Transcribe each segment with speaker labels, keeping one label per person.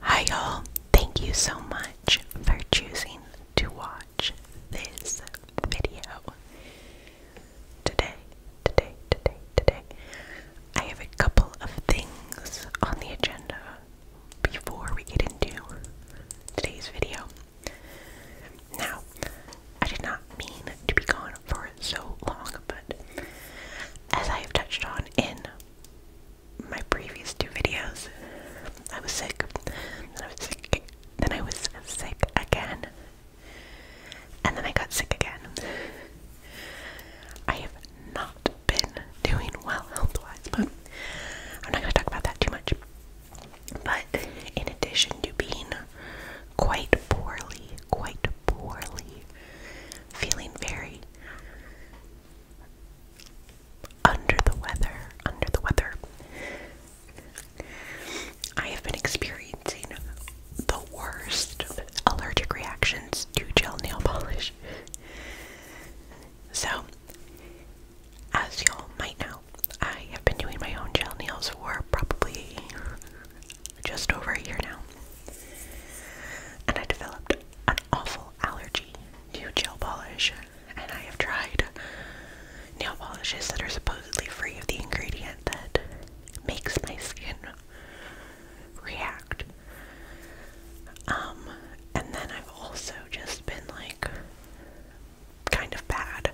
Speaker 1: Hi, y'all. Thank you so much for choosing to watch this video. Today, today, today, today, I have a couple of things on the agenda before we get into today's video. Now, I did not mean to be gone for so long, but as I have touched on in my previous two videos. I was sick, then I was sick, then I was sick again, and then I got sick again. I have not been doing well health-wise, but I'm not going to talk about that too much. But in addition to being quite poorly, quite poorly, feeling very under the weather, under the weather. I have been experiencing the worst allergic reactions to gel nail polish. So, as y'all might know, I have been doing my own gel nails for probably just over a year now. And I developed an awful allergy Fiji new gel polish, and I have tried nail polishes that are supposedly free of the ingredient that makes my skin react. Um, and then I've also just been like kind of bad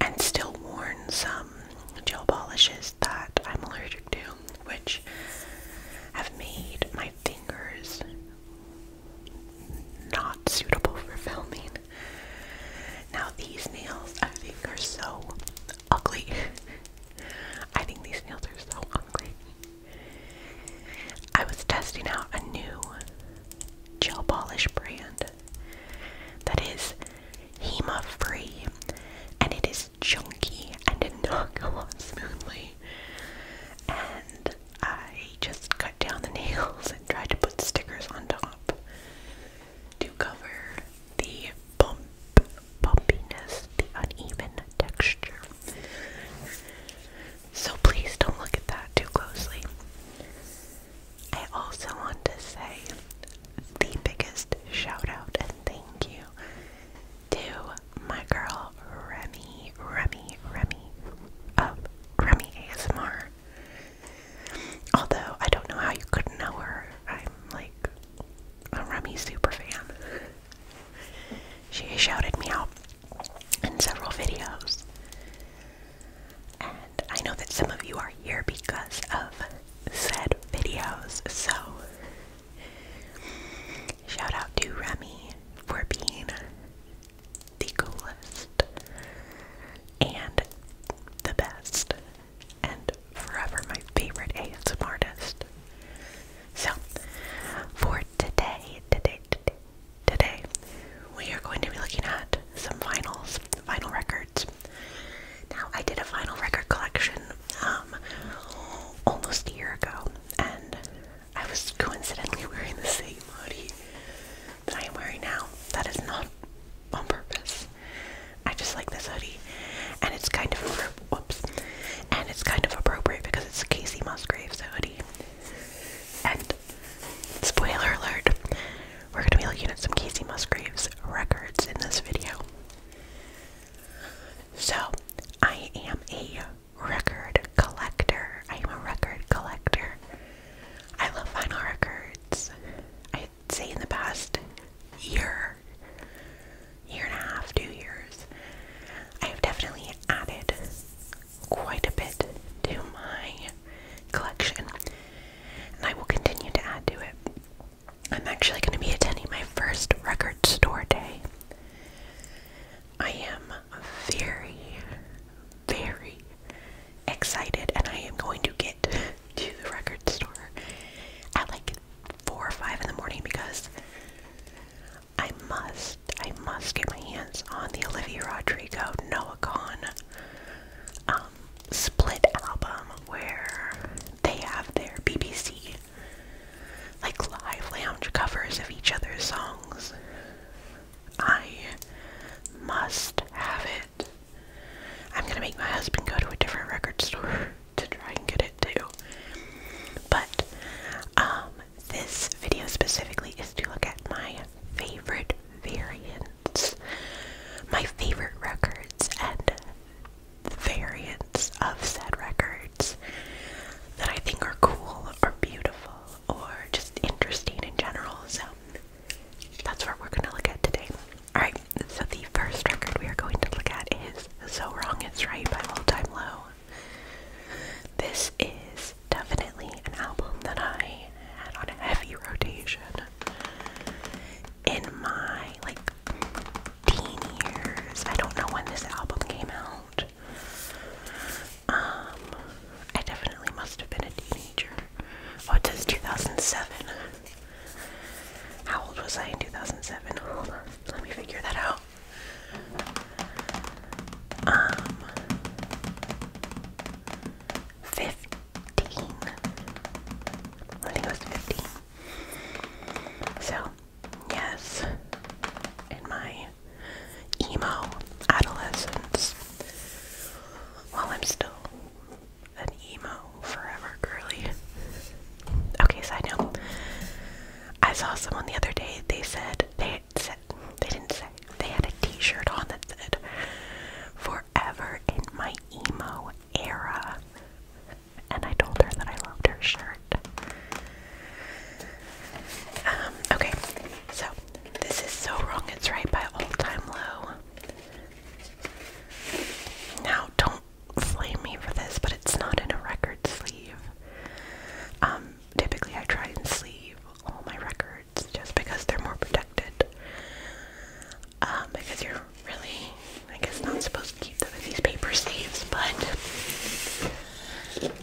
Speaker 1: and still worn some gel polishes that I'm allergic to, which have made my my fingers not suitable for filming. Now these nails I think are so ugly. I think these nails are so ugly. I was testing out a new gel polish brand that is HEMA free and it is chunky and did not go on smoothly. And I just cut down the nails and tried to put stickers on top to cover the bump, bumpiness, the uneven texture. So please don't look at that too closely. I also want to say the biggest shout out and thank you to my girl Remy, Remy, Remy of um, Remy ASMR. Although I don't know how you couldn't know her. I'm like a Remy super fan. She shouted me out in several videos. And I know that some of you are here because of said videos, so Shout out to Remy for being the coolest and the best and forever my favorite ASM artist. So for today, today, today, today, we are going to be looking at some vinyls, vinyl records. Now I did a vinyl record collection um, almost a year ago, and I was coincidentally wearing the same hoodie that I am wearing now. That is not on purpose. I just like this hoodie, and it's kind of whoops, and it's kind of appropriate because it's Casey Musgraves hoodie. And spoiler alert, we're gonna be looking at some Casey Musgraves records in this video. So, I am a record collector. I am a record collector. I love vinyl records. I'd say in the past year, year and a half, two years, I have definitely added quite a bit to my collection. And I will continue to add to it. I'm actually going to be attending my first record store day I am very, very excited, and I am going to get to the record store at like 4 or 5 in the morning because I must, I must get my hands on the Olivia Rodrigo Noah Con um, split album where they have their BBC like live lounge covers of each other's songs. I must have it. I'm gonna make my husband go to a different record store to try and get it too. But um this video specifically is to look at my favorite variants, my favorite records, and variants of said records that I think are cool or beautiful or just interesting in general. So that's what we're going to look at today. Alright, so the first record we are going to look at is So Wrong It's Right by All Time Low. This is definitely an album that I had on a heavy rotation in my like 15 years. I don't know when this album came out. Um, I definitely must have been a teenager. What oh, it 2007. How old was I in 2007? let me figure that out. Um, 15. I think it was 15. So, Yes, in my emo adolescence. While I'm still an emo forever girly. Okay, side note. I saw someone the other day, they said, they said, they didn't say, they had a t-shirt on that said, forever in my emo era and I told her that I loved her shirt. Um, okay, so this is So Wrong It's Right by All Time Low. Now, don't flame me for this, but it's not in a record sleeve. Um, typically, I try and sleeve all my records just because they're more protected. Um, because you're really I guess not supposed to keep them in these paper sleeves, but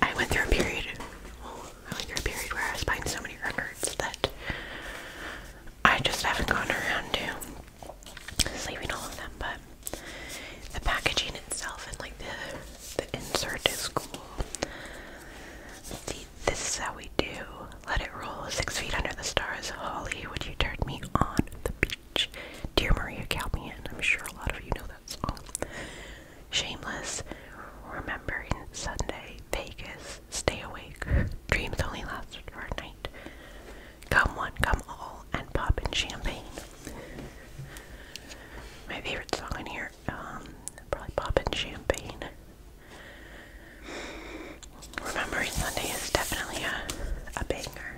Speaker 1: I went through a period. Oh, I went through a period where I was buying so many records that I just haven't gone around to leaving all of them. But the packaging itself and like the the insert is cool. See, this is how we do. Let it roll. Six feet under the stars. Holly, would you turn me on the beach? Dear Maria Calpian, I'm sure a lot of you know that song. Shameless, Remembering Sunday, Vegas, Stay Awake, Dreams Only Last for a Night, Come One, Come All, and Pop in Champagne. My favorite song in here, um, probably Pop in Champagne. Remembering Sunday is definitely a, a banger.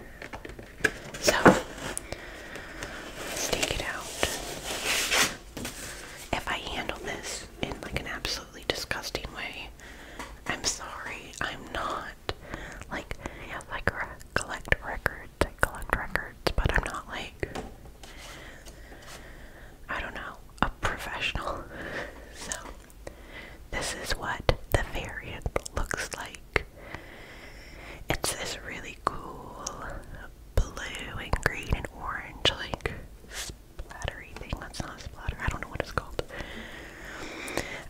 Speaker 1: So let's take it out. If I handle this in like an absolutely disgusting way, I'm sorry. I'm not like yes, collect records. collect records, but I'm not like I don't know a professional. So this is what the variant looks like it's this really cool blue and green and orange like splattery thing. That's not a splatter. I don't know what it's called.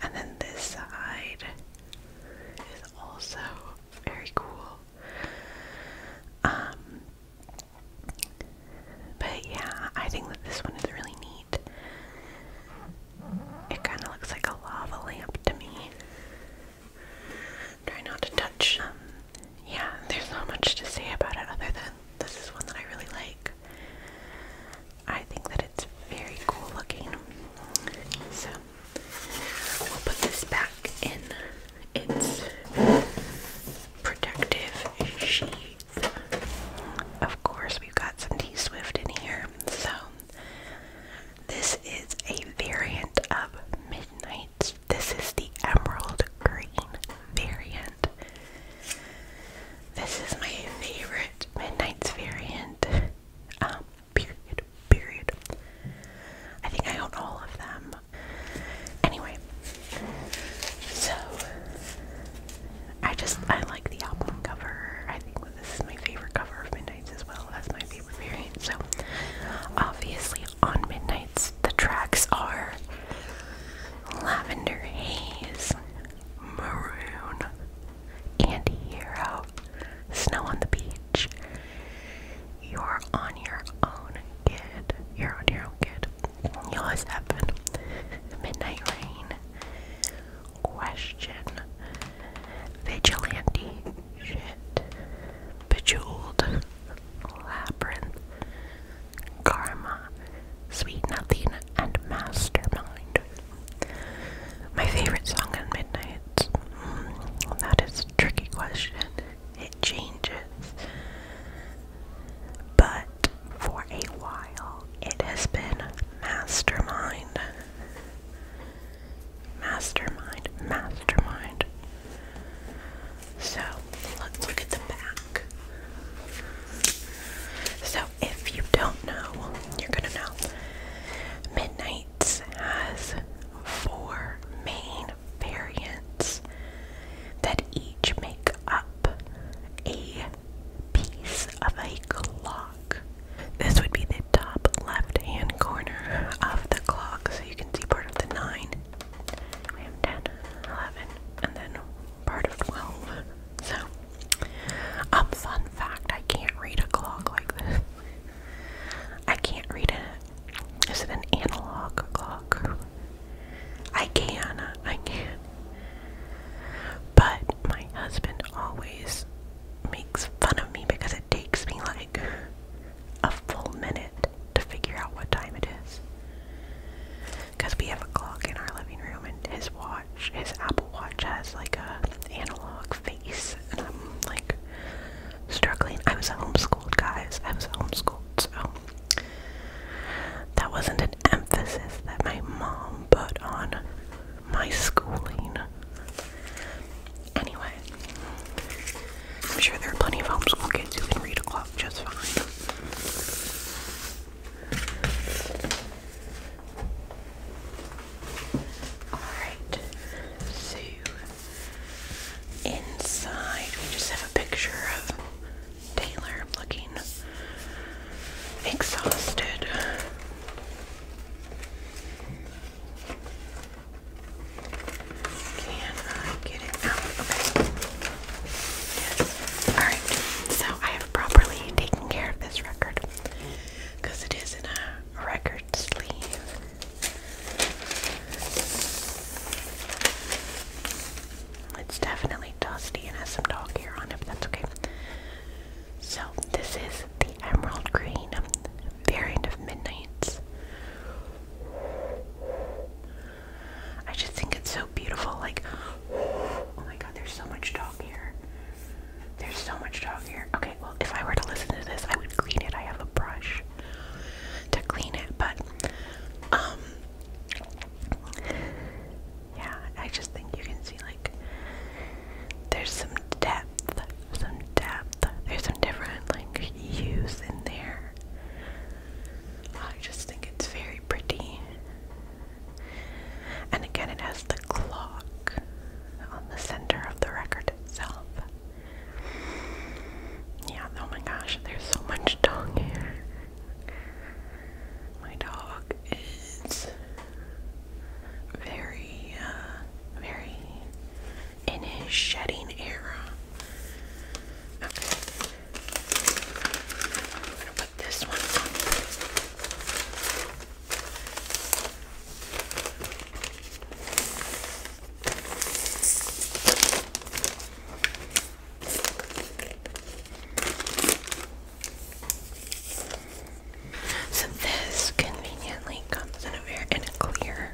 Speaker 1: And then this side is also very cool. Um but yeah, I think that this one is really neat. It kind of looks like a lava lamp to me. Try not to touch. Um, yeah, there's not much to say about it other than this is one that I really like. I think that it's very cool looking. So we'll put this back in its protective sheath. Of course, we've got some T Swift in here, so this is a variant of Midnight. This is the emerald green variant. This is my favorite Midnight's variant. Um, period. Period. I think I own all of them. Anyway, so I just I like the album cover. I think this is my favorite cover of Midnight's as well as my favorite variant. So, obviously, on Midnight's, the tracks are Lavender Haze, Maroon, Anti Hero, Snow on the Beach, You're on Your Own Kid, You're on Your Own Kid, You Midnight Rain, question. Vigilante shit. Bejeweled. Labyrinth. Karma. Sweet Nothing and Mastermind. My favorite song on Midnight. Mm, that is a tricky question. It changes. But for a while, it has been Mastermind. Mastermind, mastermind. So let look at the back. So if you don't know, you're gonna know. Midnights has four main variants that each make up a piece of a clock. This would be the top left hand corner of the clock, so you can see part of the 9. We have 10, and then part of 12. So, um, fun fact I can't read a clock like this. I can't read it. Is it an analog clock? I can, I can. But my husband always makes fun of me because takes me like a full minute to figure out what time it is. Because we have a clock in our living room, and his watch, his Apple Watch, has like a analog face, and I'm like struggling. I was homeschooled, guys. I was homeschooled, so that wasn't an emphasis that my mom put on my schooling. Anyway, I'm sure there are plenty of homeschool kids who can read a clock just fine. Alright, so inside we just have a picture of Taylor looking exhausted. Can I get it out? Okay. Alright, so I have properly taken care of this record because it is in a record sleeve. It's definitely dusty and has some dog hair on it, but that's okay. So this is the emerald green um, variant of Midnight's. I just think it's so beautiful. Like, oh my god, there's so much dog here. There's so much dog here. Okay, well, if I were to listen to this, I would clean it. I have a brush to clean it, but, um, yeah, I just think you can see, like, there's some depth, some depth. There's some different like hues in there. I just think it's very pretty. And again, it has the clock on the center of the record itself. Yeah, oh my gosh, there's so much dog here. My dog is very, uh, very in his shedding era. Okay. I'm gonna put this one so this conveniently comes in a very clear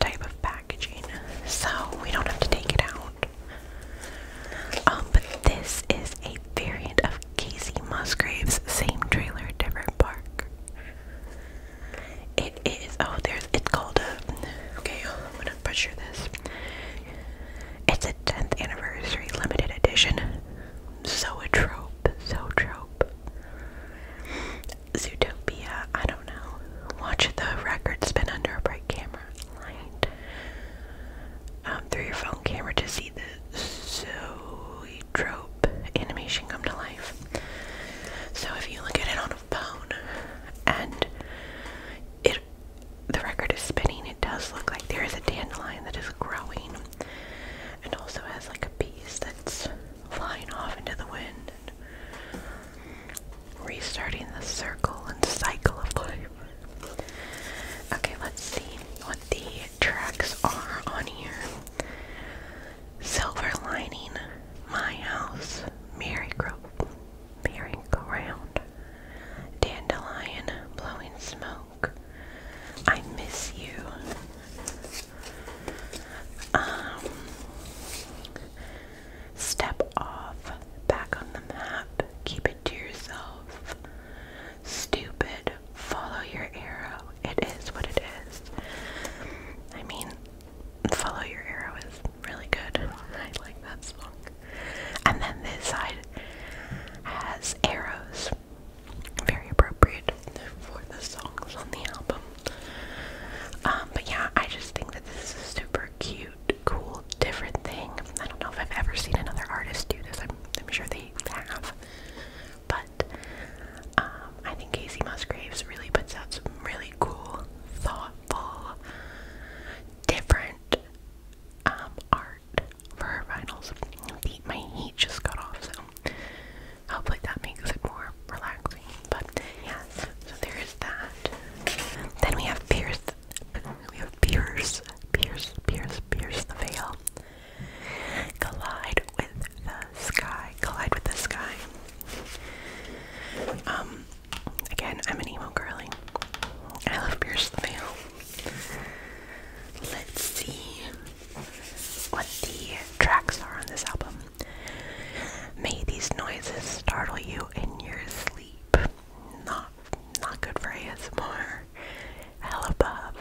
Speaker 1: type of packaging, so we don't have to take it out. Um, but this is a variant of Casey Musgrave's same trailer, different park. It is oh there's it's called a okay I'm gonna butcher this. It's a 10th anniversary limited edition so a trope, so trope. Zootopia, I don't know. Watch the record spin under a bright camera light um, through your phone camera to see the zoetrope animation come to life. So if you look at it on a phone and it the record is spinning, it does look like there is a dandelion that is growing and also has like a piece that's flying off into the wind and restarting the circle and cycle of life. Okay, let's see what the tracks are on here. Silver lining, my house, merry-go-round, Dandelion, blowing smoke. I miss you. Um, step off, back on the map, keep it to yourself. Stupid, follow your arrow. It is what it is. I mean, follow your arrow is really good. I like that song. And then this side has arrows very appropriate for the songs on the album. Um, but yeah, I just think that this is super cute, cool, different thing. I don't know if I've ever seen another artist do this. I'm, sure they have. But um, I think Casey Musgraves really puts out some really cool, thoughtful, different um, art for her my heat just got off, so hopefully that makes it more relaxing. But yeah, so there is that. Then we have Pierce. We have Pierce, Pierce, Pierce, Pierce the Veil. Collide with the sky. Collide with the sky. Um, again, I'm an emo girly. I love Pierce the Veil. Let's see what the tracks are on this album. May these noises startle you in your sleep. Not not good for ASMR. Hell above.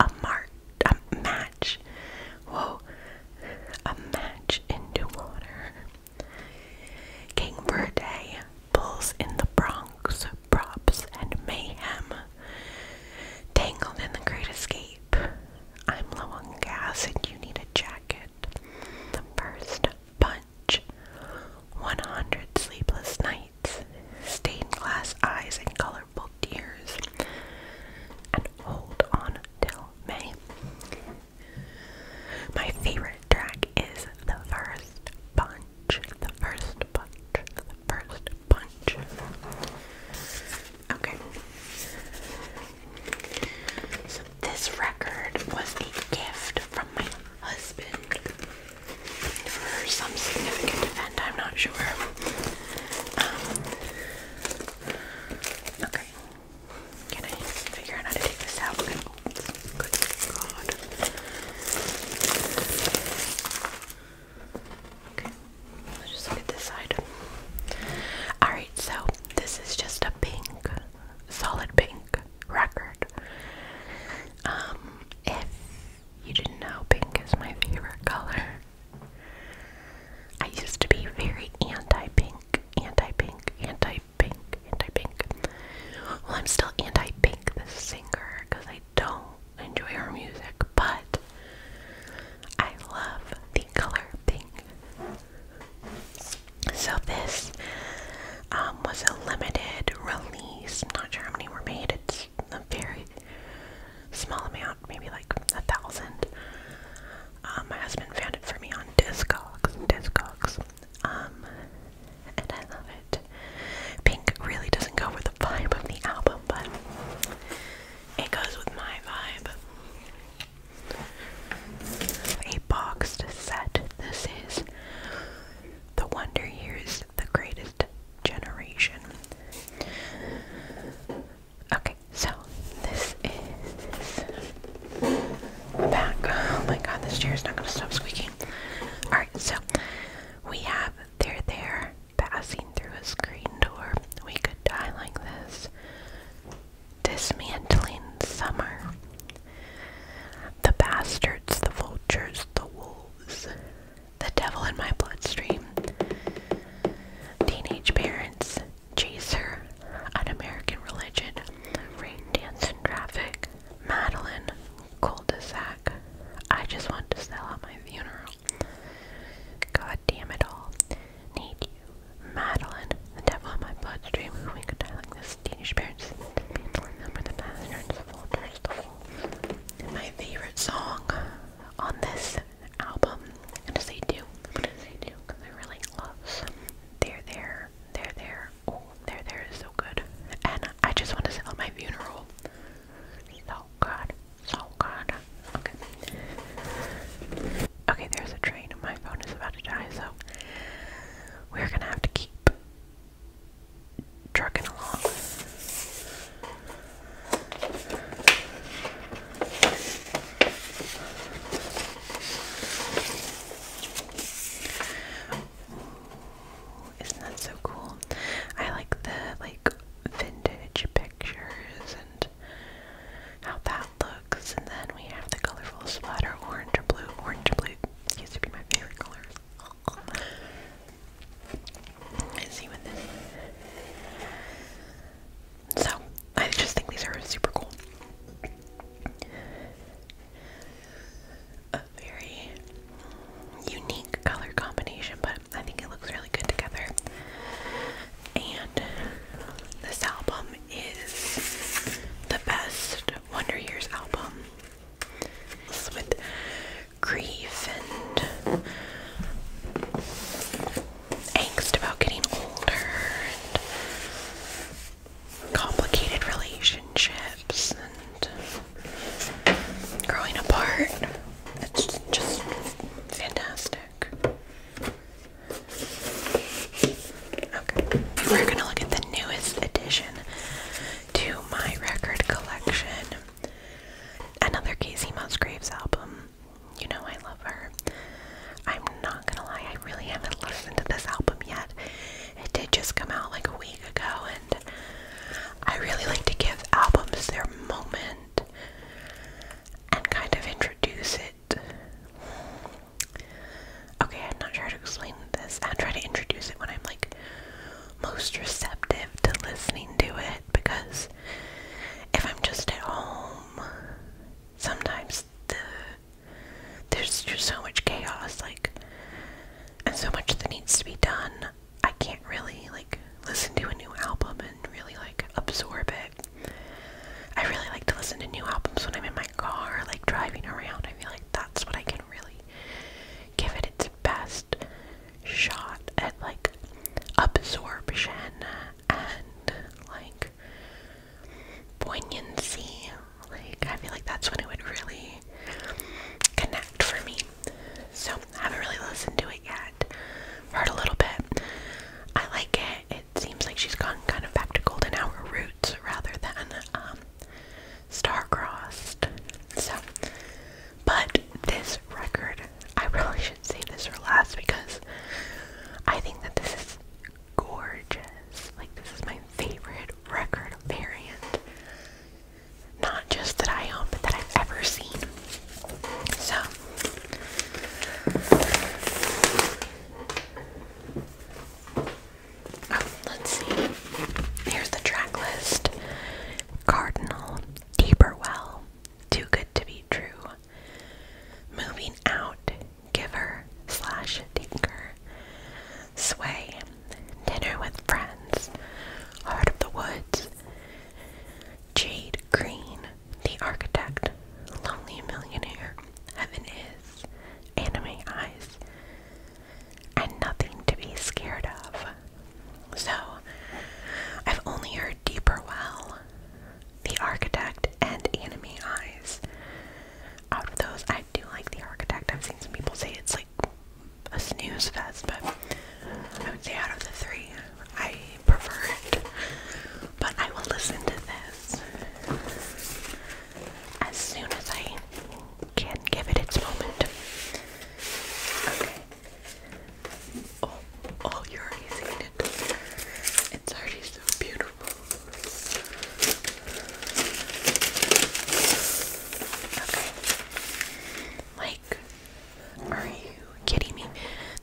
Speaker 1: A mark a match. Whoa. A match into water. King for a day. Bulls in the Bronx, Props and Mayhem, Tangled in the Great Escape, I'm Low on Gas and You Need a Jacket, The First Punch, 100 Sleepless Nights, Stained Glass Eyes and Colorful Tears, and Hold On Till May. My favorite track is The First Punch punch, the first punch, the first punch. Okay. this record was a gift from my husband for some significant event, I'm not sure. Um, okay. Can I figure out how to take this out? Oh, good God. Okay, let's just look at this side. Alright, so this is just a pink, solid pink record. Um, if you didn't know, pink is my favorite color. I used to be very anti-pink, anti-pink, anti-pink, anti-pink. Well, I'm still anti-pink the singer because I don't enjoy her music, but I love the color thing. So this um, was a limited release. not sure how many were made. It's a very small amount, maybe like a thousand. Uh, my husband found it for me on Discogs. Discogs. Um, and I love it. Pink really doesn't go with the vibe of the album, but it goes with my vibe. A boxed set. This is The Wonder Years, The Greatest Generation. Okay, so this is back. Oh my god, this chair is not going to stop squeaking. Alright, so we have they're there, passing through a screen door. We could die like this. Dismantling summer. The bastards, the vultures, the wolves. The devil in my bloodstream. Teenage parents. Chaser. An American religion. Rain dance and traffic. Madeline, cul I just want to sell out my funeral. God damn it all. Need you. Madeline, the devil in my bloodstream, we could die like this. Teenage parents, people remember the the full, turns My favorite song on this album, and am gonna say 2 gonna say two, because I really love They're There, They're There. Oh, They're There is so good. And I just want to sell out my funeral. Oh god! Oh god! Okay. Okay, there's a train my phone is about to die, so we're gonna have to keep trucking along isn't that so cool? I like the like vintage pictures and how that looks, and then we have the colorful splatter, orange or blue. Orange or blue used to be my favorite color. Let's this So, I just think these are super cool. Uh, very unique color combination, but I think it looks really good together. And this album is the best Wonder Years album. With grief and angst about getting older and complicated relationships and growing apart. It's just fantastic. we're gonna look at the newest addition to my record collection. Another Casey Musgraves album. You know I love her. I'm not gonna lie, I really haven't listened to this album yet. It did just come out like a week ago, and I really like to give albums their moment and kind of introduce it. Okay, I'm not sure how to explain this. I try to introduce it when I'm like most receptive to listening to it because if I'm just at home, sometimes there's just so much chaos, like, and so much that needs to be done. I can't really like listen to a new album and really like absorb it. I really like to listen to new albums when I'm in my car, like driving around. I feel like that's what I can really give it its best shot at like absorption and like poignancy. Like I feel like that's when it would really connect for me. So I haven't really listened to it yet. i heard a little bit. I like it. It seems like she's gone kind of back to golden hour roots rather than um, star-crossed. So, but this record, I really should save this for last because I think that this is gorgeous. Like this is my favorite record variant. Not just that I own, but that I've ever seen. So, oh, let's see. Here's the track list Cardinal, Deeperwell, Too Good to Be True, Moving Out, Giver slash Tinker, Sway, Dinner with Friends, Heart of the Woods, Jade Green, The Architect, Lonely Millionaire, Heaven Is, Anime Eyes, and Nothing to Be Scared of. So, I've only heard Deeper Well, The Architect, and Anime Eyes. Out of those, I do like The Architect. I've seen some people say it's like a snooze fest, but I would say out of the three, I prefer it. But I will listen to this as soon as I can give it its moment. Okay. Oh, oh, you already seeing it. It's already so beautiful. Okay. Like, are you kidding me?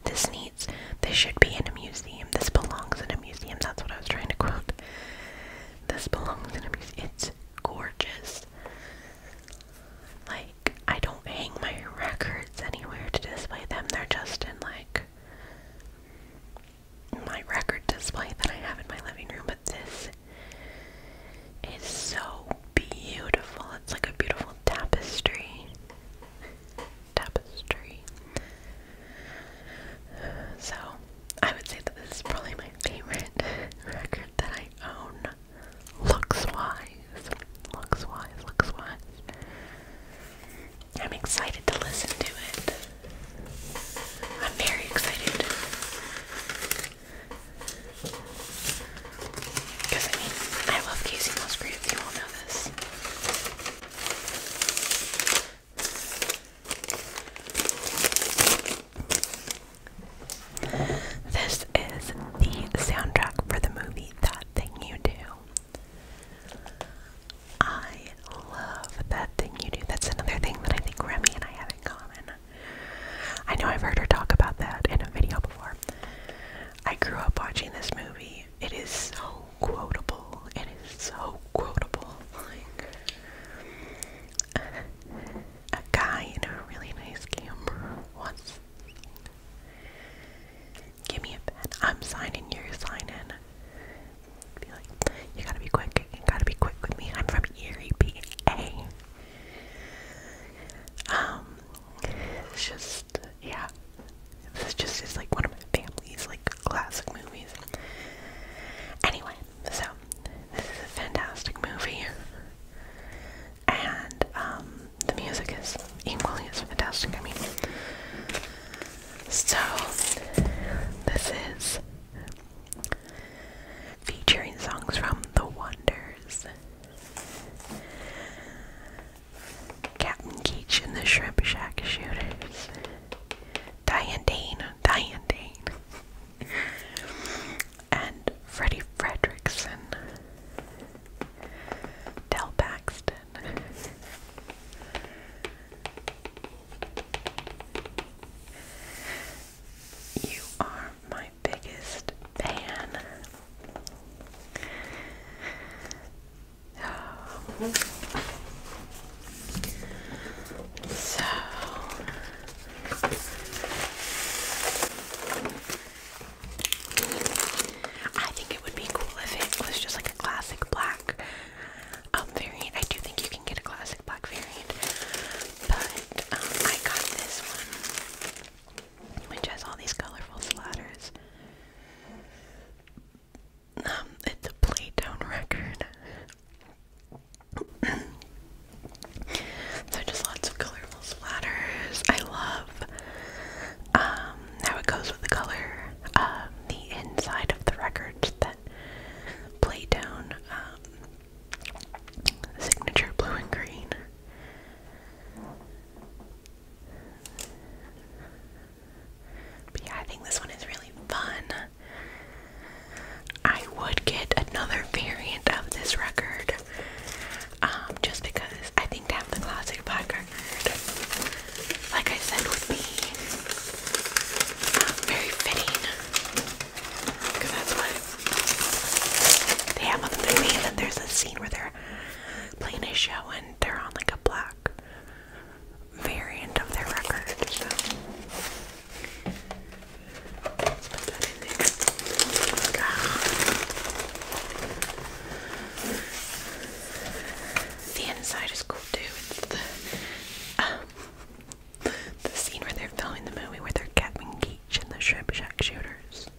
Speaker 1: This needs, this should be in a museum. This belongs in a museum. That's what I was trying to quote. This belongs in a museum. It's gorgeous. Like, I don't hang my records anywhere to display them. They're just in, like, my record display that I have in my living room. But this it's so beautiful. It's like a beautiful tapestry. Tapestry. So, I would say that this is probably my favorite record that I own. Looks wise. Looks wise. Looks wise. I'm excited to listen to it. I'm very excited. Because I mean, I love Casey Musgrave, you all know this. This is the soundtrack for the movie That Thing You Do. I love That Thing You Do. That's another thing that I think Remy and I have in common. I know I've heard her talk about that in a video before. I grew up watching this movie. It is so quotable. It is so quotable. Like a guy in a really nice camera once. Give me a pen. I'm signing your sign in. you gotta be quick. You gotta be quick with me. I'm from Erie, PA. Um, it's just, yeah, this just is like one of my family's like classic movies. Anyway, so this is a fantastic movie, and um, the music is equally as fantastic. I mean, so this is featuring songs from The Wonders, Captain Keach and the Shrimp Shack Shooters, Diane Dane, Diane Dane, and Freddie Fredrickson, Del Paxton. You are my biggest pan. so I think it would be cool if it was just like a classic black um, variant. I do think you can get a classic black variant, but um, I got this one, which has all these colorful splatters. Um, it's a Playtone record. so just lots of colorful splatters. I love um, how it goes with the color, um, the inside of the records that Playtone um, Signature blue and green. But yeah, I think this one is really fun. I would get another variant of this record um, just because I think to the classic black record, like I said, would be um, very fitting they have on the movie. And then there's a scene where they're playing a show and they're on like a black variant of their record. The inside is cool too the scene where they're filming the movie where they're Captain Geach and the shrimp shack shooters.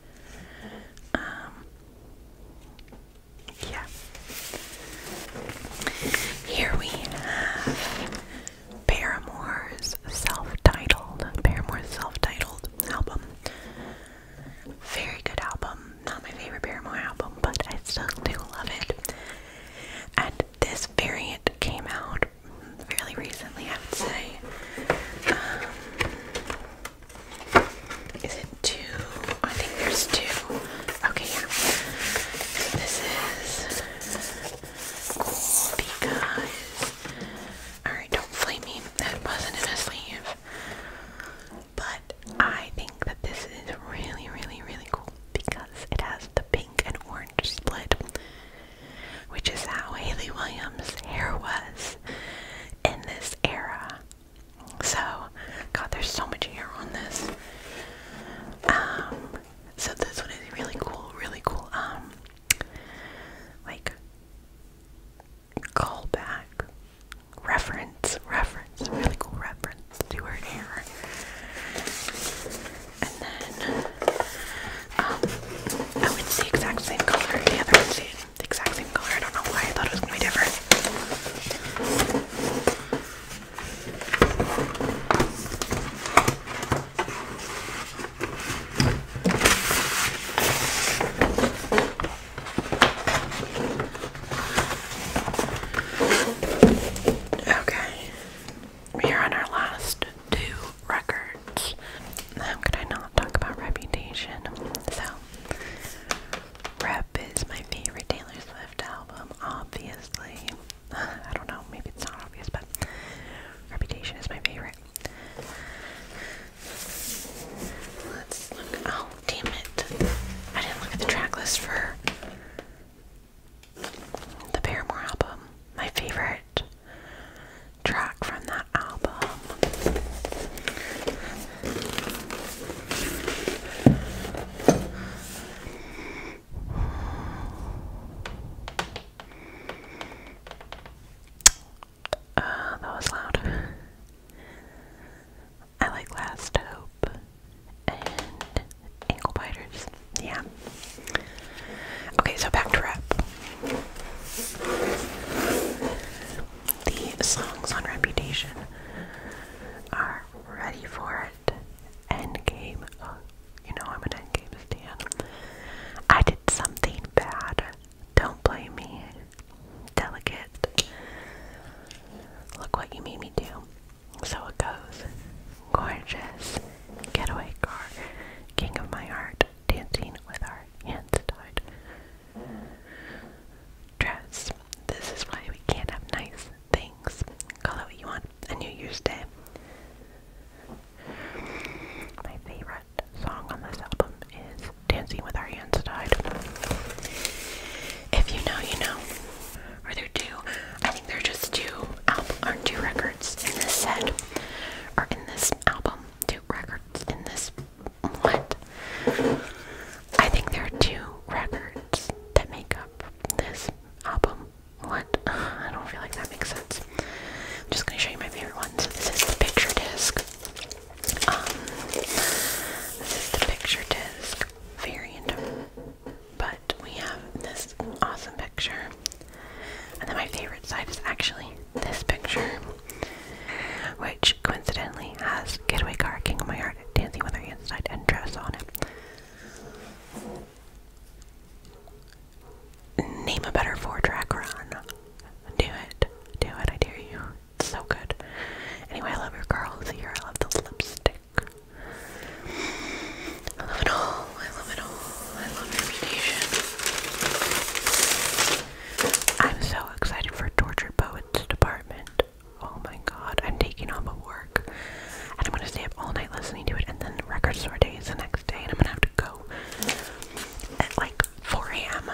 Speaker 1: Um, yeah. Here we have Paramore's self-titled, Paramore's self-titled album. Very good album. Not my favorite Paramore album, but I still do love it. And this variant came out fairly recently, I would say. Um, is it two? I think there's two. Okay, yeah. this is cool because. Alright, don't flame me. That wasn't in a sleeve. But I think that this is really, really, really cool because it has the pink and orange split which is how Haley Williams' hair was in this era. So, God, there's so much hair on this. Um, so this one is really cool, really cool. Um, like callback reference, reference, really cool reference to her hair and then oh, it's the exact same color. The other one's the, the exact same color. I don't know why I thought it was gonna be different. Okay, we are on our last two records. How could I not talk about reputation? So, Rep is my favorite Taylor Swift album, obviously. I don't know, maybe it's not obvious, but Reputation is my favorite. Let's look. Oh, damn it. I didn't look at the track for the Paramore album. My favorite track from that album. Uh, that was loud. I like Last Hope and Ankle Biters yeah. Okay, so back to rap. The songs on Reputation are ready for it. Endgame. Oh, you know I'm an Endgame stan. I did something bad. Don't blame me. Delicate. Look what you made me do. So it goes gorgeous getaway car, king of my heart, dancing with our hands tied. Dress. This is why we can't have nice things. Call it what you want. A New Year's Day. My favorite song on this album is Dancing with Our Hands Tied. If you know, you know. Or there two there are just two album or two records in this set, or in this album. Two records in this. What? I think there are two records that make up this album. What? I don't feel like that makes sense. I'm just gonna show you my favorite one. So this is the picture disc. Um, this is the picture disc very variant, but we have this awesome picture and then my favorite side is actually this picture, which coincidentally has Getaway Car, King of My Heart, Dancing with Her Hands and Dress on it. Name a better four track run. Do it. Do it, I dare you. It's so good. Anyway, I love your curls here. I love the lipstick. I love it all. I love it all. I love reputation. I'm so excited for Torture Poets Department. Oh my god, I'm taking all my work. And I'm gonna stay up all night listening to it and then record store days the next day and I'm gonna have to go at like 4 a.m.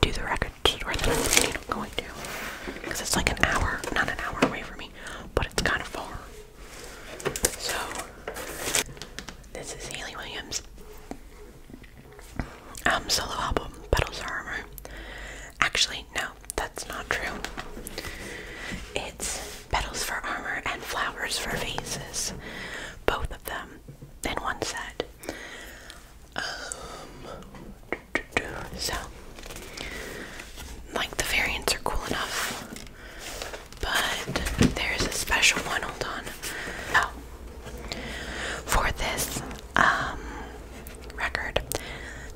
Speaker 1: do the record store that I'm going to. Because it's like an hour, not an hour away from me, but it's kind of far. So, this is Haley Williams' um, solo album, Petals Are Armor. Actually, no, that's not true. It's Petals for Armor and Flowers for Vases, both of them in one set. Um, so, like the variants are cool enough but there's a special one. Hold on. Oh. for this um record,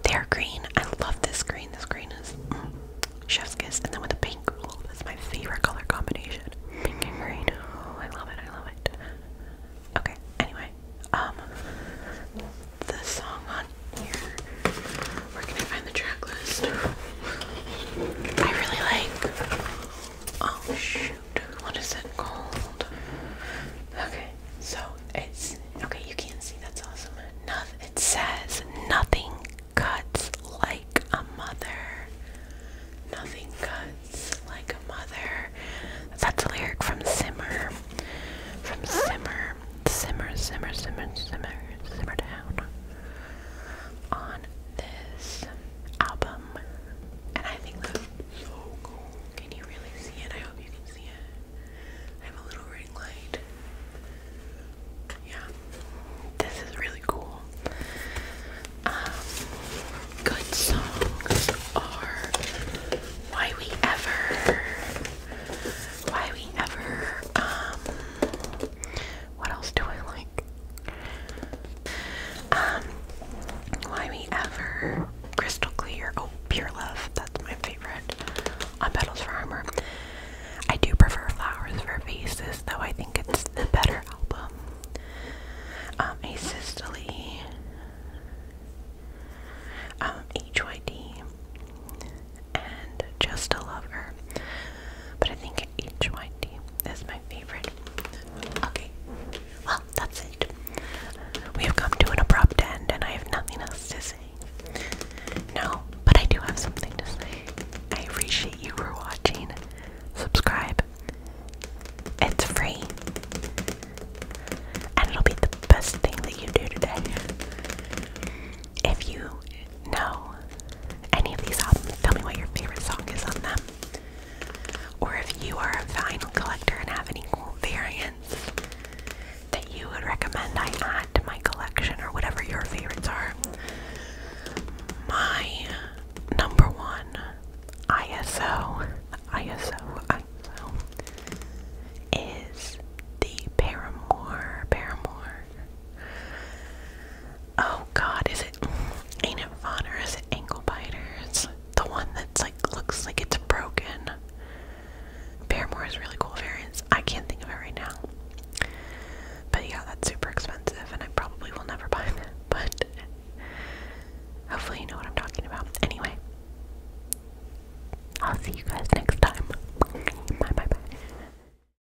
Speaker 1: they're green. I love this green. This green is mm, chef's kiss, and then with the pink. Oh, that's my favorite color combination. Pink and green. Oh, I love it. I love it. Okay. Anyway, um, the song on here where can I find the track list? I really like. Oh shoot! What is it called? Okay, so it's okay. You can't see. That's awesome. Nothing. It says nothing cuts like a mother. Nothing cuts like a mother. That's a lyric from Simmer. From Simmer. Simmer, simmer, simmer, simmer, simmer down on this album, and I think that's Can you really see it? I hope you can see it. I have a little ring light. Yeah, this is really cool. Um, good songs are Why We Ever, Why We Ever, um, what else do I like? Um, Why We Ever, Crystal Clear, oh, Pure Love, that's my favorite, on Petals for Armor. I do prefer Flowers for Faces, though I think it's the better album. Um, A Sistily, um, HYD, and Just a Lover. But I think think each is my favorite. Okay, well, that's it. We have come to an abrupt end, and I have nothing else to say. No, but I do have something to say. I appreciate you for watching. Subscribe. It's free. And it'll be the best thing that you do today. If you no, any of these albums, tell me what your favorite song is on them. Or if you are a vinyl collector and have any cool variants that you would recommend I add to my collection or whatever your favorites are. My number one ISO, ISO, ISO is the Paramore, Paramore. Oh god, is it ain't it fun is it ankle The one that's like looks like it's broken. Paramore is really cool variants. I can't think of it right now. But yeah, that's super expensive and I probably will never buy that. But hopefully you know what I'm talking about. Anyway. I'll see you guys next time. Bye bye bye.